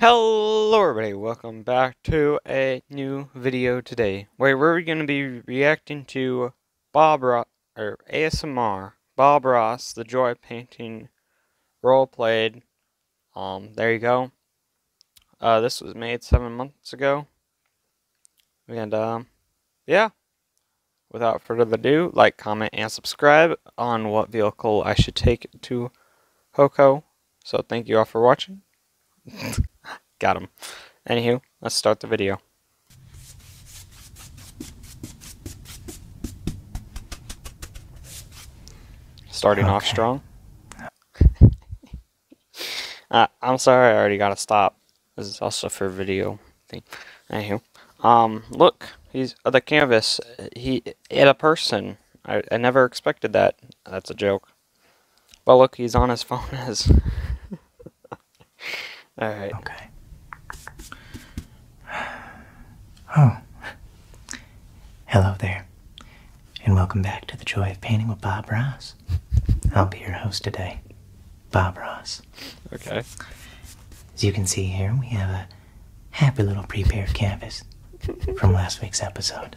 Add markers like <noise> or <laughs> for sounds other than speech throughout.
Hello everybody, welcome back to a new video today, where we're going to be reacting to Bob Ross, or ASMR, Bob Ross, the Joy Painting role played. Um, there you go. Uh, this was made seven months ago. And um, yeah, without further ado, like, comment, and subscribe on what vehicle I should take to Hoko. So thank you all for watching. <laughs> Got him. Anywho, let's start the video. Starting off strong. <laughs> Uh, I'm sorry, I already gotta stop. This is also for video thing. Anywho, um, look, he's uh, the canvas. He hit a person. I, I never expected that. That's a joke. But look, he's on his <laughs> phone as. <laughs> All right. Okay. Oh. <sighs> Hello there and welcome back to The Joy of Painting with Bob Ross. I'll be your host today, Bob Ross. Okay. As you can see here, we have a happy little prepared canvas from last week's episode.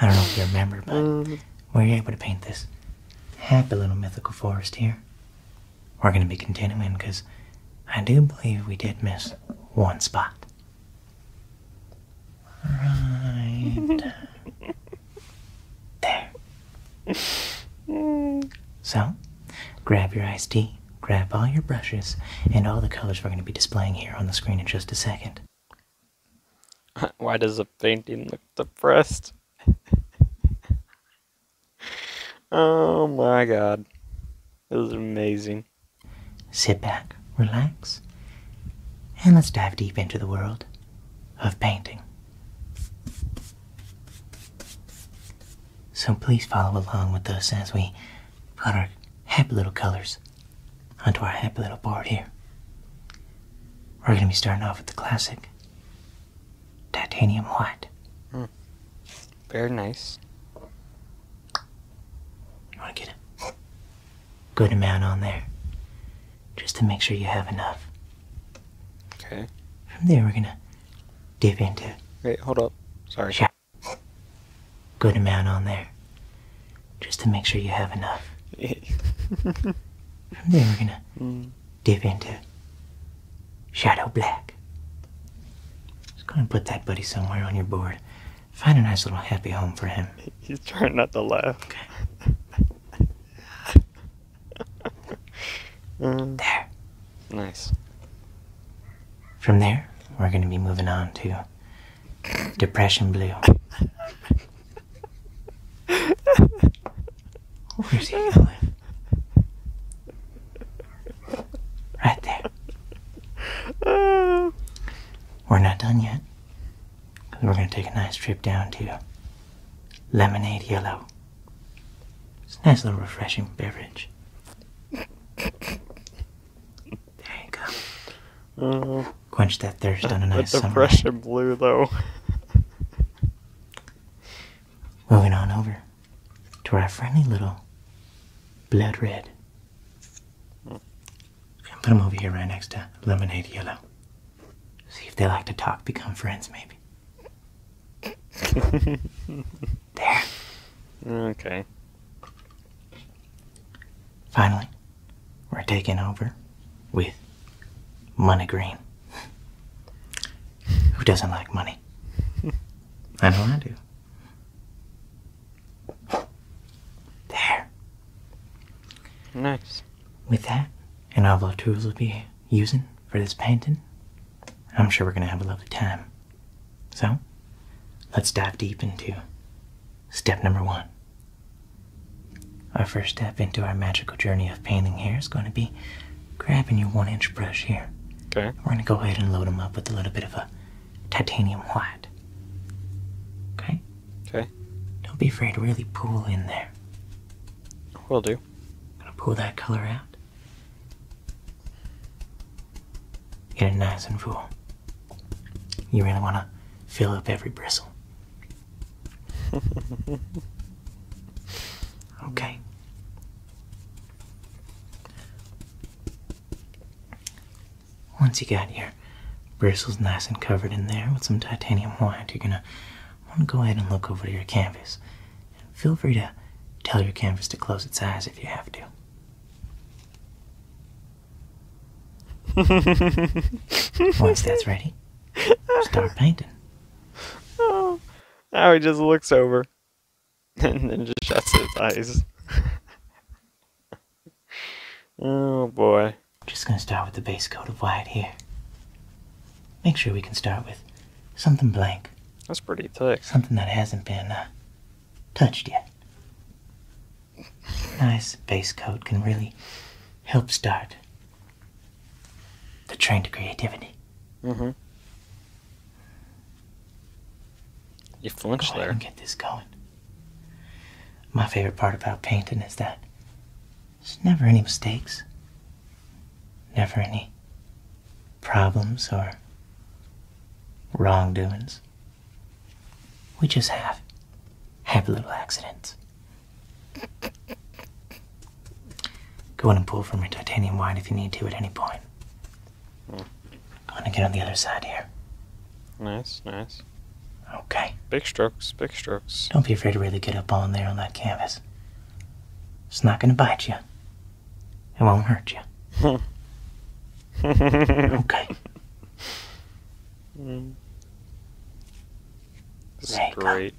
I don't know if you remember, but we mm-hmm. were able to paint this happy little mythical forest here. We're going to be continuing because I do believe we did miss one spot. Right. there. So, grab your ice tea, grab all your brushes, and all the colors we're going to be displaying here on the screen in just a second. <laughs> Why does the painting look depressed? <laughs> oh my god. This is amazing. Sit back, relax, and let's dive deep into the world of painting. So please follow along with us as we put our happy little colors onto our happy little board here. We're going to be starting off with the classic titanium white. Hmm. Very nice. You want to get it? good amount on there just to make sure you have enough. Okay. From there, we're going to dip into. Wait, hold up. Sorry. Yeah. Good amount on there just to make sure you have enough. <laughs> From there, we're going to mm. dip into Shadow Black. Just going to put that buddy somewhere on your board. Find a nice little happy home for him. He's trying not to laugh. Okay. <laughs> Um, there. Nice. From there, we're going to be moving on to Depression Blue. Right there. <laughs> We're not done yet we're going to take a nice trip down to Lemonade Yellow. It's a nice little refreshing beverage. there you go. Uh, Quench that thirst on a nice sunrise. fresh and blue, though. Moving on over to our friendly little blood red i put them over here right next to Lemonade Yellow. See if they like to talk, become friends, maybe. <laughs> there. Okay. Finally, we're taking over with Money Green. Who doesn't like money? <laughs> I know I do. There. Nice with that and all the tools we'll be using for this painting, I'm sure we're going to have a lovely time. So, let's dive deep into step number one. Our first step into our magical journey of painting here is going to be grabbing your one inch brush here. Okay. We're going to go ahead and load them up with a little bit of a titanium white. Okay? Okay. Don't be afraid to really pull in there there. Will do. Gonna pull that color out. Get it nice and full. You really wanna fill up every bristle. <laughs> okay. Once you got here bristles nice and covered in there with some titanium white, you're gonna want to go ahead and look over to your canvas. feel free to tell your canvas to close its eyes if you have to. <laughs> Once that's ready, start painting. Oh, now he just looks over <laughs> and then just shuts his eyes. <laughs> oh boy. Just gonna start with the base coat of white here. Make sure we can start with something blank. That's pretty thick. Something that hasn't been uh, touched yet. Nice base coat can really help start the train to creativity. Mm-hmm. You flinched Go there. get this going. My favorite part about painting is that there's never any mistakes, never any problems or wrongdoings. We just have happy little accidents. Go in and pull from your titanium wine if you need to at any point. I'm hmm. Going to get on the other side here. Nice, nice. Okay. Big strokes, big strokes. Don't be afraid to really get up on there on that canvas. It's not going to bite you. It won't hurt hmm. <laughs> hmm. you. okay. Mm. This Go.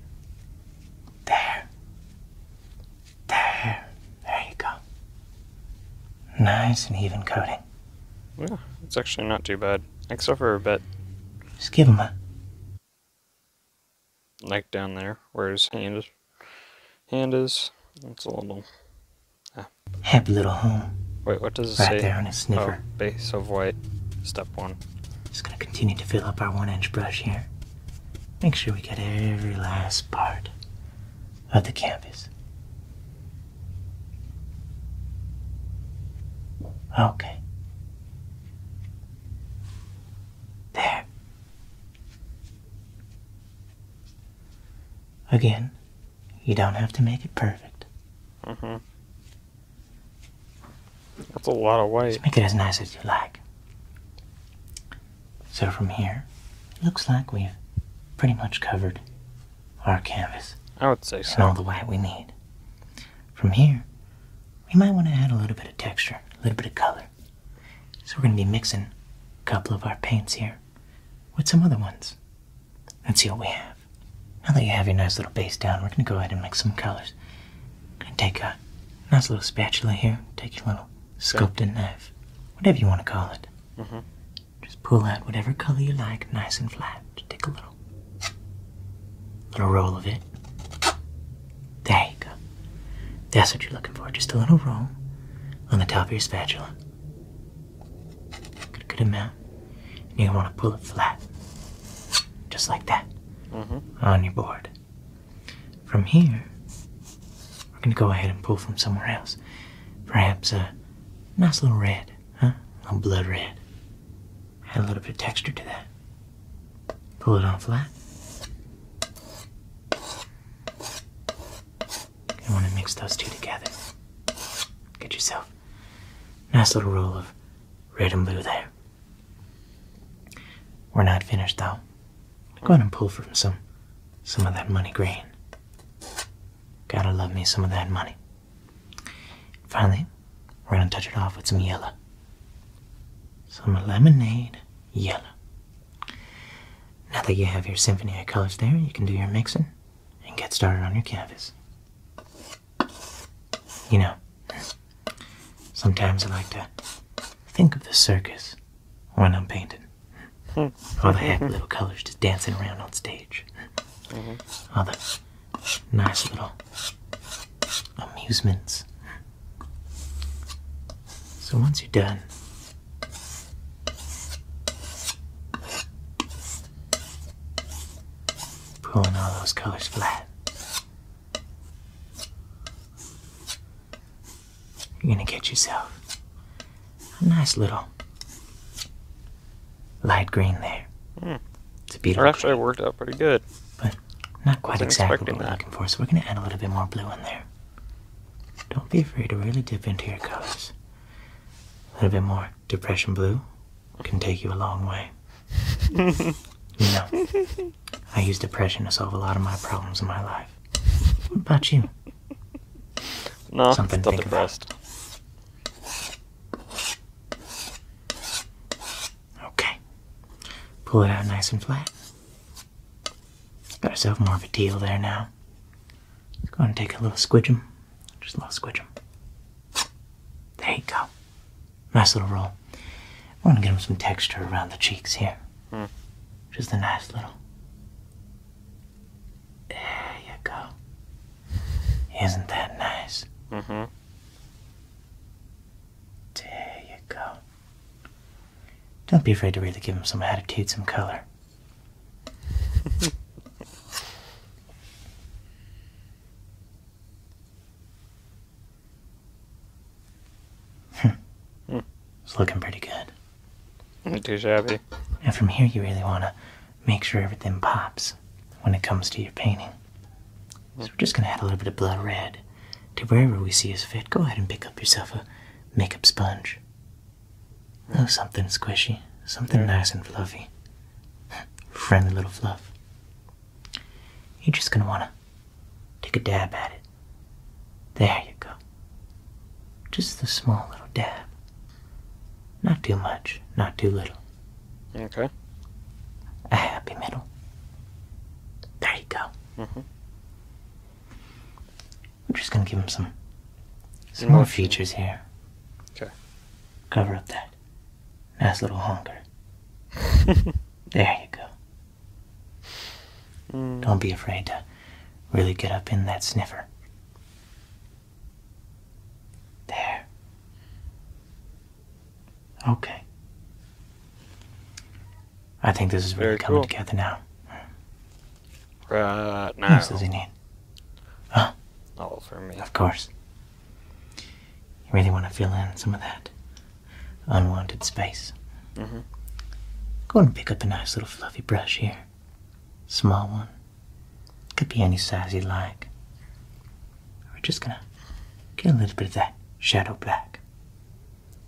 There. There. There you go. Nice and even coating. Yeah, it's actually not too bad. Except for a bit. Just give him a like down there, where his hand is. Hand is. It's a little. Happy little home. Wait, what does it say? Right there on his sniffer. Oh, base of white. Step one. Just gonna continue to fill up our one-inch brush here. Make sure we get every last part of the canvas. Okay. There. Again, you don't have to make it perfect. Mm-hmm. That's a lot of white. Just make it as nice as you like. So from here, looks like we've pretty much covered our canvas. I would say so. all the white we need. From here, we might want to add a little bit of texture, a little bit of color. So we're going to be mixing a couple of our paints here with some other ones. Let's see what we have. Now that you have your nice little base down, we're going to go ahead and mix some colors. i take a nice little spatula here, take your little sculpted knife, whatever you want to call it. Mm-hmm. Just pull out whatever color you like, nice and flat. take a little, roll of it. There you go. That's what you're looking for. Just a little roll on the top of your spatula. Good, good amount. And you want to pull it flat, just like that, mm-hmm. on your board. From here, we're going to go ahead and pull from somewhere else. Perhaps a nice little red, huh? A blood red. Add a little bit of texture to that. Pull it on flat. You want to mix those two together. Get yourself nice little roll of red and blue there. We're not finished though. Go ahead and pull from some some of that money grain. Gotta love me some of that money. Finally, we're gonna touch it off with some yellow. Some lemonade yellow. Now that you have your symphony of colors there, you can do your mixing and get started on your canvas. You know, sometimes I like to think of the circus when I'm painting. Hmm. All the happy little colors just dancing around on stage. Mm-hmm. All the nice little amusements. So once you're done, pulling all those colors flat, you're gonna get yourself a nice little light green there. Hmm. It's a beautiful. It actually green. worked out pretty good. But not quite exactly what we're looking for, so we're going to add a little bit more blue in there. Don't be afraid to really dip into your colors. A little bit more depression blue can take you a long way. <laughs> you know, I use depression to solve a lot of my problems in my life. What about you? No, Something still depressed. Okay. Pull it out nice and flat. Got ourselves more of a deal there now. Let's go and take a little squidgem. Just a little squidgem. There you go. Nice little roll. I going to get him some texture around the cheeks here. Hmm. Just a nice little. There you go. Isn't that nice? Mm-hmm. There you go. Don't be afraid to really give him some attitude, some color. Hmm. It's looking pretty good. Not too shabby. Now from here you really want to make sure everything pops when it comes to your painting. So we're just gonna add a little bit of blood red to wherever we see is fit. Go ahead and pick up yourself a makeup sponge. Oh, something squishy, something nice and fluffy. <laughs> Friendly little fluff. You're just gonna wanna take a dab at it. There you go. Just the small little dab. Not too much, not too little. Okay. A happy middle. There you go. Mm -hmm. I'm just gonna give him some some more features here. Okay. Cover up that nice little honker. <laughs> there you go. Mm. Don't be afraid to really get up in that sniffer. There. Okay. I think this is really Very coming together now. Right now. What else does he need? Huh? All for me. Of course. You really want to fill in some of that unwanted space. Mm-hmm. Go and pick up a nice little fluffy brush here. Small one. Could be any size you like. We're just gonna get a little bit of that shadow black.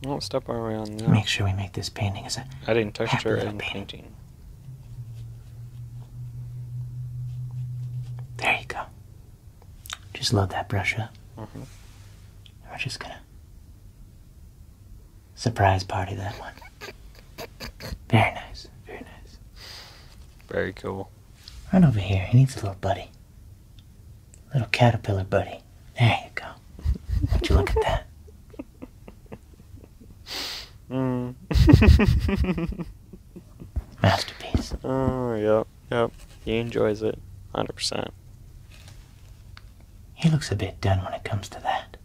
Don't step around. No. Make sure we make this painting as a adding texture and painting. painting. There you go. Just love that brush up. Mm -hmm. We're just gonna surprise party that one. Very nice. Very nice. Very cool. Right over here. He needs a little buddy. Little caterpillar buddy. There you go. Would you look at that? Mm. <laughs> Masterpiece. Oh, yep, yep. He enjoys it. 100%. He looks a bit done when it comes to that.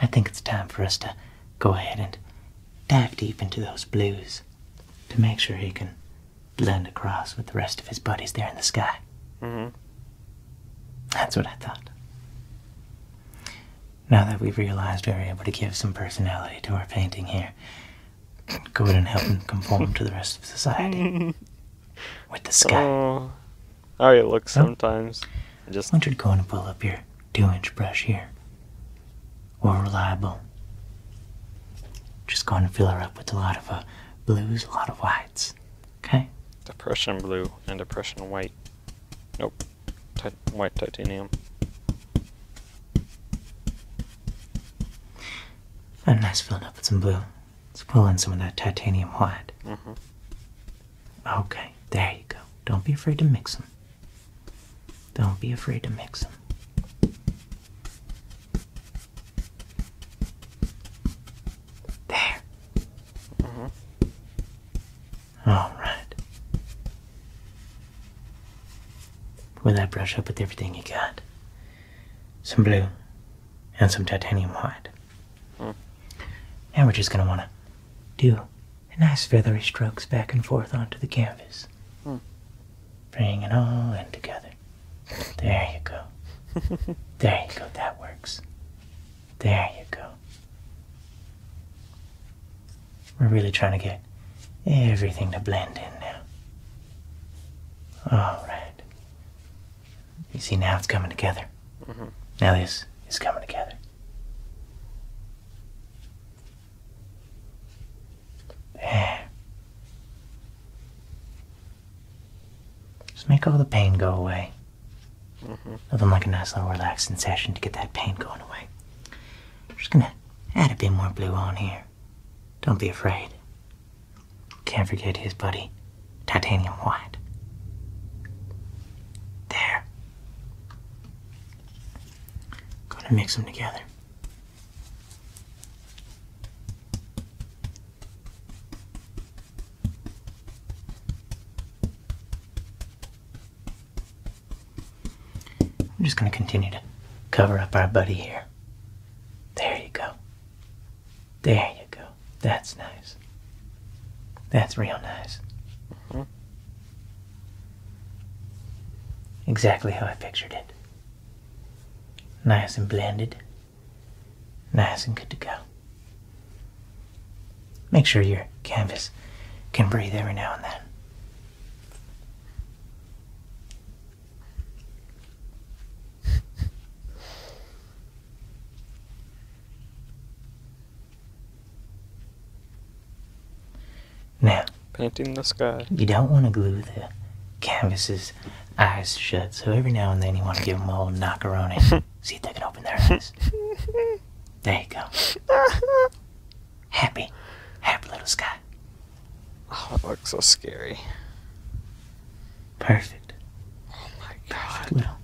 I think it's time for us to go ahead and dive deep into those blues to make sure he can blend across with the rest of his buddies there in the sky. Mm-hmm. That's what I thought. Now that we've realized we're able to give some personality to our painting here, <clears throat> go ahead and help him conform to the rest of society. <laughs> with the sky. Oh, how it looks oh. sometimes. I Just... I want you to go and pull up your two inch brush here. More reliable just going to fill her up with a lot of uh, blues, a lot of whites. Okay? Depression blue and depression white. Nope. white titanium. Not nice filled up with some blue. Let's pull in some of that titanium white. Mm-hmm. Okay, there you go. Don't be afraid to mix them. Don't be afraid to mix them. There. Mm All right. With that, brush up with everything you got some blue and some titanium white. Mm. And we're just going to want to do nice feathery strokes back and forth onto the canvas. Mm. Bring it all in together. There you go. <laughs> there you go. That works. There you go. We're really trying to get everything to blend in now. All right. You see, now it's coming together. Mm -hmm. Now this is coming together. There. Just make all the pain go away. Mm-hmm. Nothing like a nice little relaxing session to get that pain going away. just gonna add a bit more blue on here. Don't be afraid. Can't forget his buddy, Titanium White. There. Gonna mix them together. I'm just going to continue to cover up our buddy here. There you go. There you go. That's nice. That's real nice. Exactly how I pictured it. Nice and blended. Nice and good to go. Make sure your canvas can breathe every now and then. Now, painting the sky. You don't want to glue the canvases eyes shut. So every now and then you want to give him a little knockeroni. <laughs> See if they can open their eyes. There you go. Happy. Happy little sky. Oh, it looks so scary. Perfect. Oh my god. little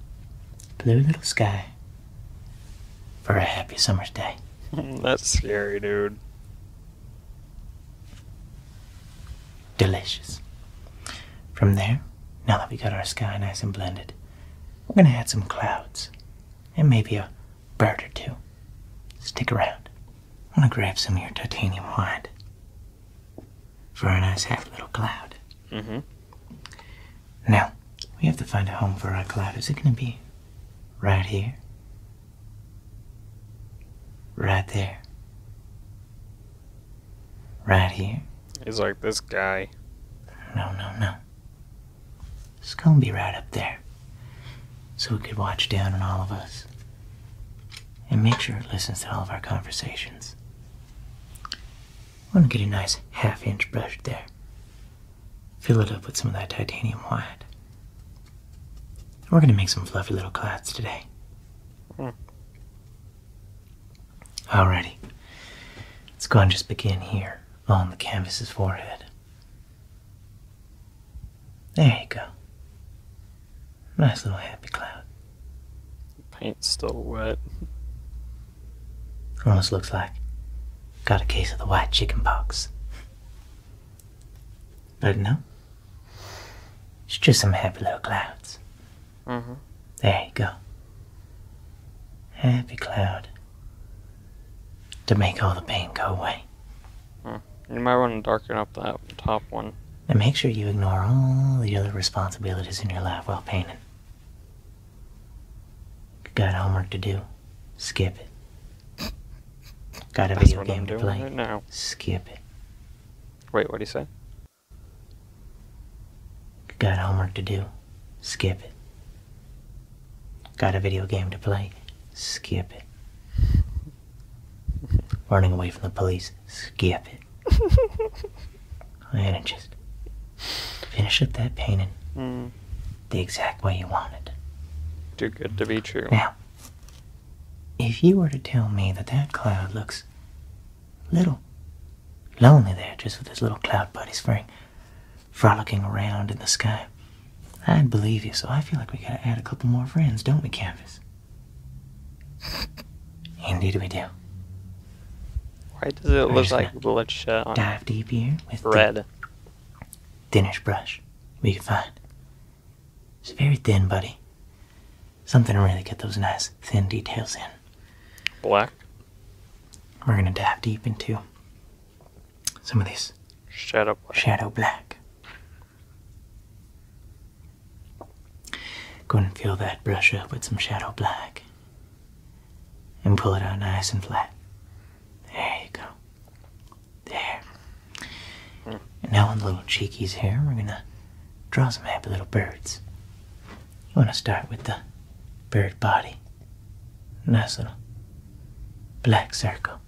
blue little sky for a happy summer's day. <laughs> That's scary, dude. Delicious. From there, now that we got our sky nice and blended, we're going to add some clouds and maybe a bird or two. Stick around. I'm going to grab some of your titanium white for a nice half little cloud. Mm -hmm. Now, we have to find a home for our cloud. Is it going to be right here? Right there? Right here. He's like, this guy. No, no, no. It's gonna be right up there. So it could watch down on all of us. And make sure it listens to all of our conversations. I want to get a nice half inch brush there. Fill it up with some of that titanium white. We're going to make some fluffy little clouds today. Hmm. Alrighty. Let's go and just begin here on the canvas's forehead. There you go. Nice little happy cloud. paint's still wet. Almost looks like got a case of the white chicken pox. not know. It's just some happy little clouds. Mm-hmm. There you go. Happy cloud. To make all the pain go away. Hmm. You might want to darken up that top one. And make sure you ignore all the other responsibilities in your life while painting. Got homework to do? Skip it. Got a video game to play? skip it. Wait, what do you say? Got homework to do. Skip it. Got a video game to play. Skip it. Running away from the police. Skip it. and <laughs> just finish up that painting hmm. the exact way you want it. Too good to be true. Now, if you were to tell me that that cloud looks little lonely there just with this little cloud buddy Frank frolicking around in the sky, I'd believe you, so I feel like we gotta add a couple more friends, don't we, Canvas? Indeed we do. Why does it look like blood shot Dive deep here with red. The thinnest brush we can find. It's very thin, buddy. Something to really get those nice thin details in. Black. We're gonna dive deep into some of these shadow black. Shadow black. Go and fill that brush up with some shadow black. And pull it out nice and flat. There you go. There. Hmm. And now on the little cheekies here, we're gonna draw some happy little birds. You want to start with the bird body. Nice little black circle.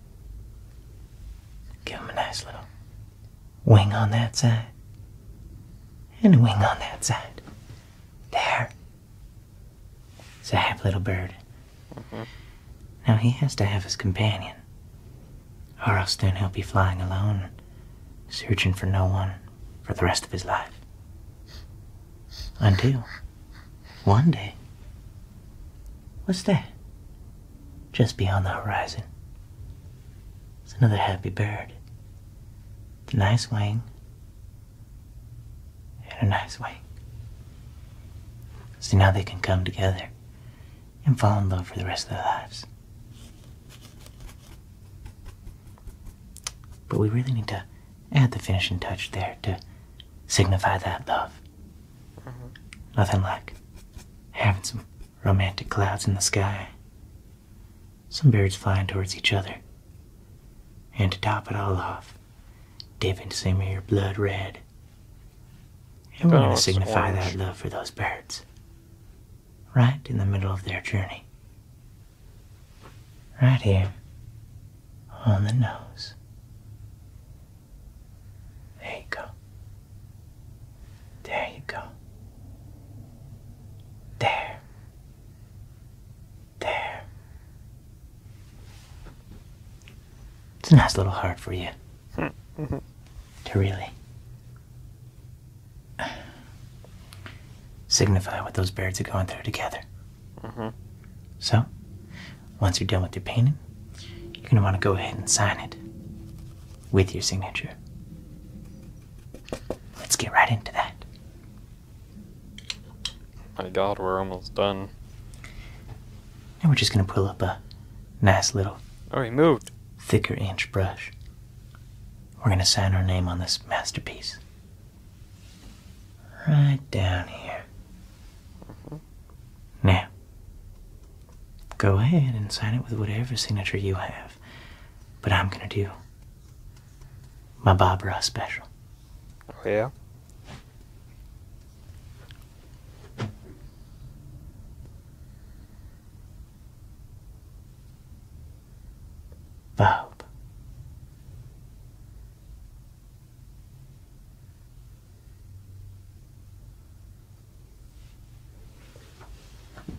Give him a nice little wing on that side. And a wing on that side. There. It's a happy little bird. Mm-hmm. Now he has to have his companion or else then he'll be flying alone, searching for no one for the rest of his life. Until one day, what's that? Just beyond the horizon. It's another happy bird. With a nice wing. And a nice wing. So now they can come together and fall in love for the rest of their lives. But we really need to add the finishing touch there to signify that love. Mm-hmm. Nothing like having some romantic clouds in the sky, some birds flying towards each other, and to top it all off, dipping some of your blood red. And we're oh, going to signify that love for those birds right in the middle of their journey. Right here on the nose. There you go. There you go. There. There. It's a nice little heart for you <laughs> mm-hmm. to really signify what those birds are going through together. Mm-hmm. So, once you're done with your painting, you're going to want to go ahead and sign it with your signature. Let's get right into that. My god, we're almost done. And we're just going to pull up a nice little. Oh, he Thicker inch brush. We're gonna sign our name on this masterpiece. Right down here. Now, go ahead and sign it with whatever signature you have, but I'm gonna do my Bob Ross special. Oh, yeah? verb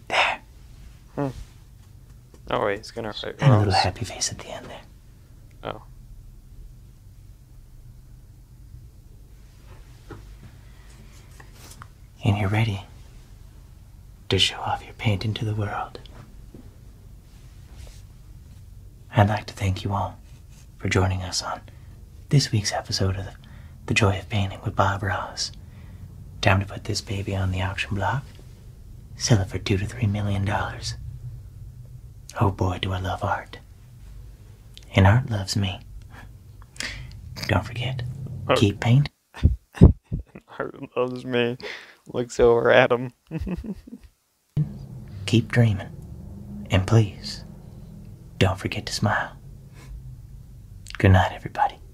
there hmm. oh wait he's gonna and a little happy face at the end there oh and you're ready to show off your painting to the world. I'd like to thank you all for joining us on this week's episode of The Joy of Painting with Bob Ross. Time to put this baby on the auction block, sell it for two to three million dollars. Oh boy, do I love art. And art loves me. Don't forget, oh. keep painting. Art <laughs> loves me. Looks over at him. Keep dreaming. And please, don't forget to smile. Good night, everybody. <sighs>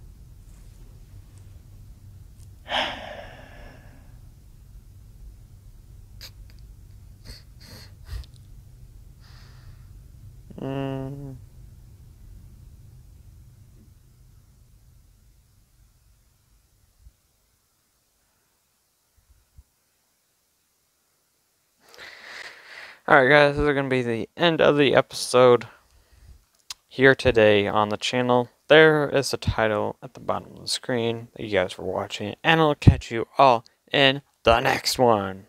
mm. Alright guys, this is going to be the end of the episode here today on the channel. There is the title at the bottom of the screen. Thank you guys for watching, and I'll catch you all in the next one.